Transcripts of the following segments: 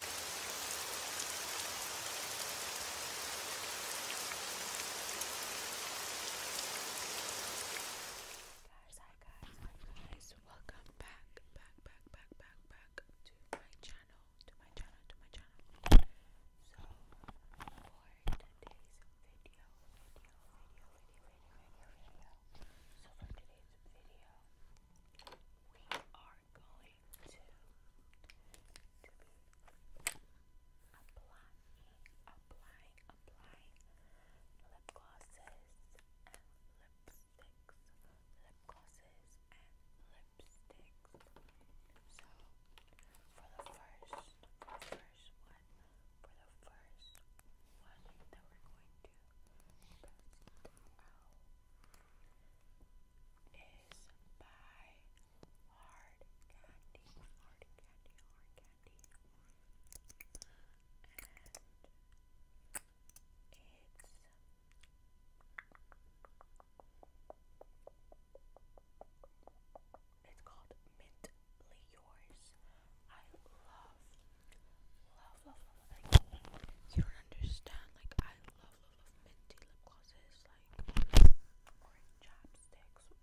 Guys, hi guys, guys. Welcome back, back, back, back, back, to my channel, to my channel, to my channel. So for today's video, video, video, video, video. So for today's video, we are going going to, to be applying, applying, applying lip glosses and lipsticks, lip glosses and lipsticks. So for the first, first one, for the first one that we're going to test is by Hard Candy, Hard Candy, Hard Candy, and it's it's called Mintly Yours. I love love, love, love, like, you don't understand, like, I love, love, love minty lip glosses, like, orange chapsticks,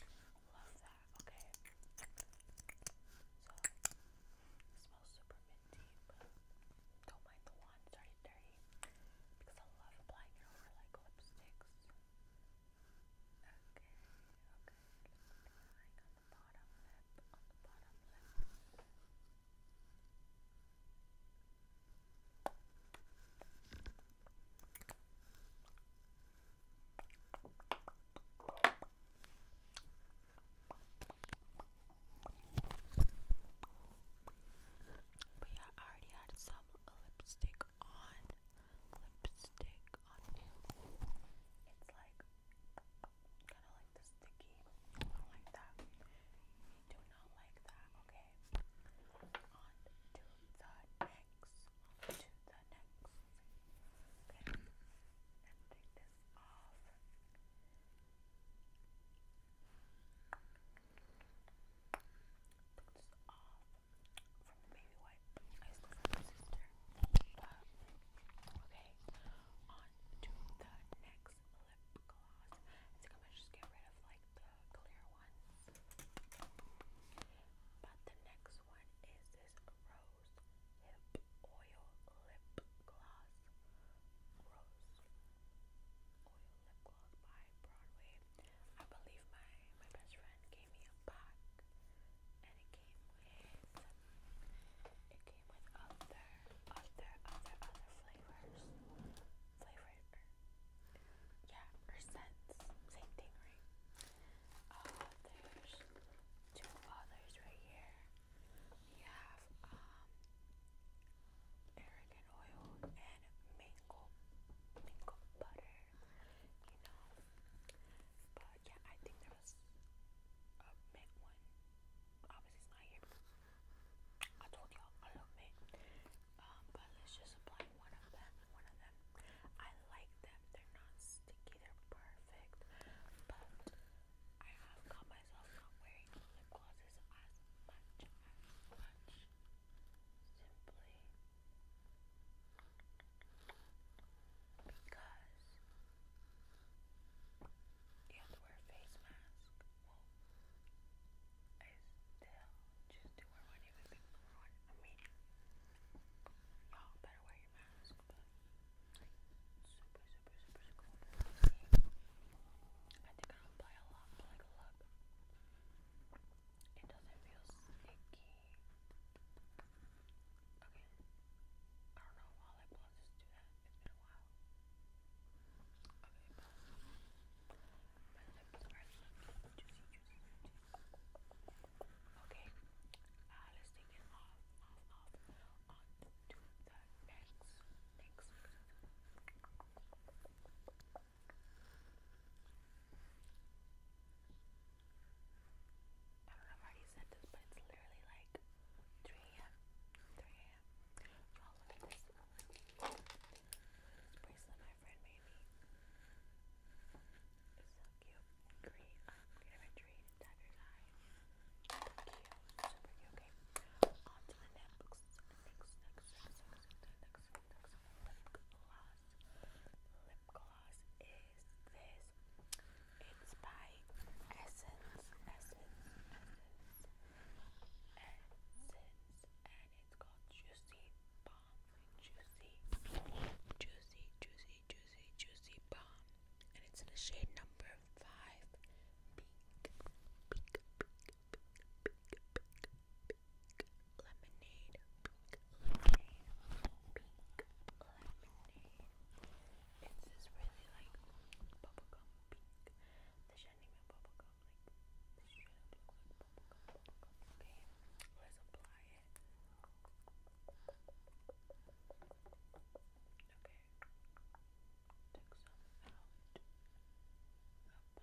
I love that, okay, so, it smells super minty, but don't mind the wand, it's already dirty, because I love applying it over, like, lipsticks, okay, okay, just applying on but I already had some lipstick on. Lipstick on. It's like Kind of like the sticky. like that. We do not like that. Okay. On to the next. to the next. Okay. Let's take off. Take this off from the baby wipe. I I okay, on to the next lip gloss. I gonna just get rid of like the clear ones. But the next one is this rose oil lip gloss. Rose oil lip gloss by Broadway. I believe my my best friend gave me a pack and it came with it came with other other other other flavors. Flavor yeah, or scents. Same thing, right? Uh there's two others right here. We have um Aragon oil and mango mango butter you know. But yeah, I think there was a mint one. Obviously, it's not here. I told y'all I love mint. but let's just apply one of them. One of them. I like them. They're not sticky. They're perfect. But I have caught myself not wearing lip glosses as much. Simply because you have to wear a face mask. I still choose to wear one even before one. I mean, y'all better wear your mask, but super, super, super cool. I think I'll apply a lot, but a lot. It doesn't feel sticky. Okay. I don't know why I pauses do that. It's been a while. Okay, pause. My are looking Okay. Uh, let's take off, off, off. On to the next, next. I don't know if I already said this, but it's literally like 3 a.m. 3 a.m. you bracelet my friend made me. It's so cute. Green. Um, green imagery. Tiger's eye. Cute. Super cute. Okay. On to the next, next, next, next, next, next, next, next, next lip Lip gloss is this. It's by Essence, Essence, Essence, Essence, and it's called Juicy Balm. Juicy, juicy, juicy, juicy, juicy balm, and it's in the shade number five, pink, pink, pink, lemonade, pink lemonade. It's this really like bubblegum pink. This shouldn't even bubblegum, like this should look like bubblegum, bubblegum. Okay, let's apply it. Okay, take some out. Apply.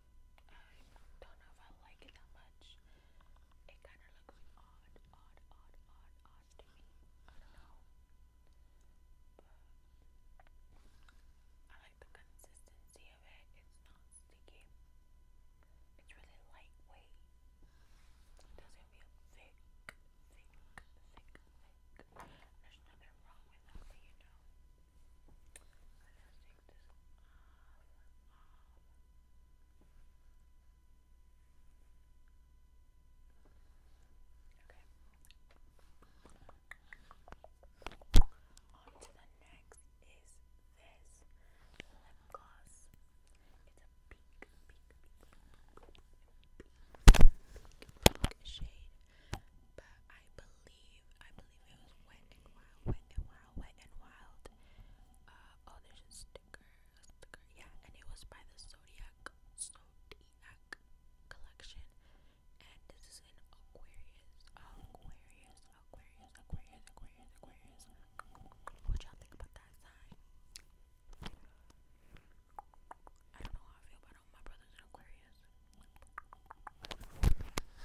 I don't know if I like it that much. It kind of looks odd, odd, odd, odd, odd to me. I don't know. But I like the consistency of it. It's not sticky. It's really lightweight. It doesn't feel thick, thick, thick, thick. There's nothing wrong with that, you know. On to the next is this lip gloss. It's a pink, pink, pink, pink, pink, pink, pink shade, but I I believe I believe it was Wet and Wild, Wet and Wild, Wet and Wild. Uh, oh, there's a sticker, a sticker, yeah, and it was by the Zodiac Zodiac collection, and this is an Aquarius, Aquarius, Aquarius, Aquarius, Aquarius, Aquarius. What y'all think about that sign? I don't know how I feel about know my brother's an Aquarius. Okay, next.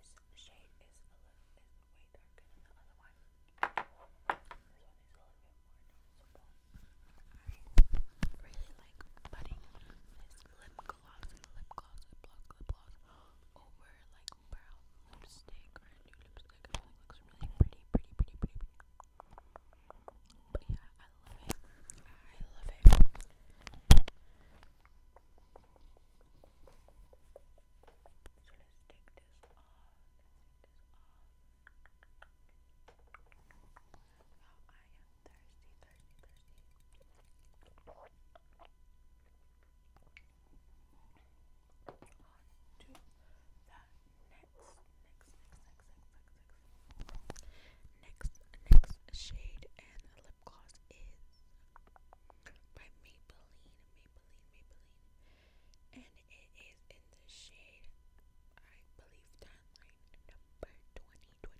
So this shade is a little bit way darker than the other one. This one is a little bit more noticeable. I really like putting this lip gloss gloss and lip gloss, lip gloss, lip gloss over like brown lipstick or a new lipstick. I think it looks really pretty, pretty, pretty, pretty. But yeah, I love it. I love it. So let's take this off. Let's take this off. Oh, I am thirsty, thirsty, thirsty. On to the next, next, next, next, next, next, next, next shade and lip gloss is by Maybelline, Maybelline, Maybelline, and it is in the shade I believe landline number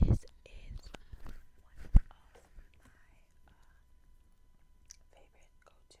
20 This is one of my uh, go-tos and as you can see it has some sparkles. So let's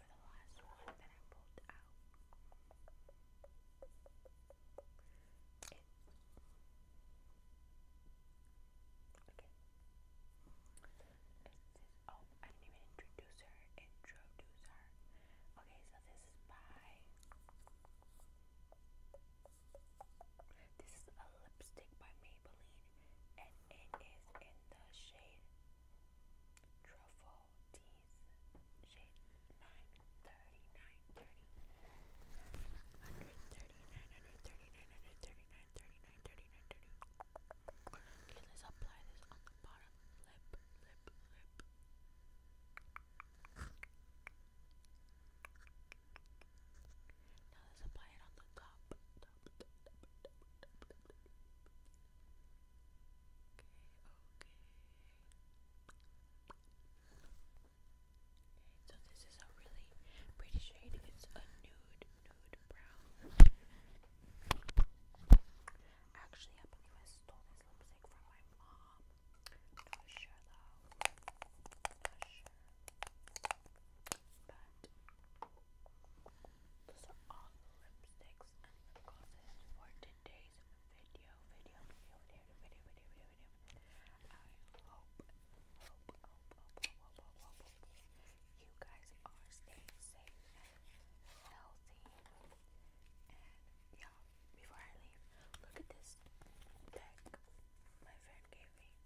for the oh, I didn't even introduce her. Introduce her. Okay, so this is by. This is a lipstick by Maybelline, and it is in the shade truffle teas, shade 930, Okay, let's apply this on the bottom lip, lip, lip. Now let's apply it on the top, Okay, so this is a really pretty shade. It's a nude, nude brown. Actually, I believe I stole this lipstick from my mom. Not sure though. Not sure. But those are all the lipsticks and lip glosses for today's video. Video, video, video, video, video, video, video. I hope, hope, hope, hope, hope, hope, hope, hope you guys are staying safe and healthy. And yeah, before I leave, look at this deck my friend gave me.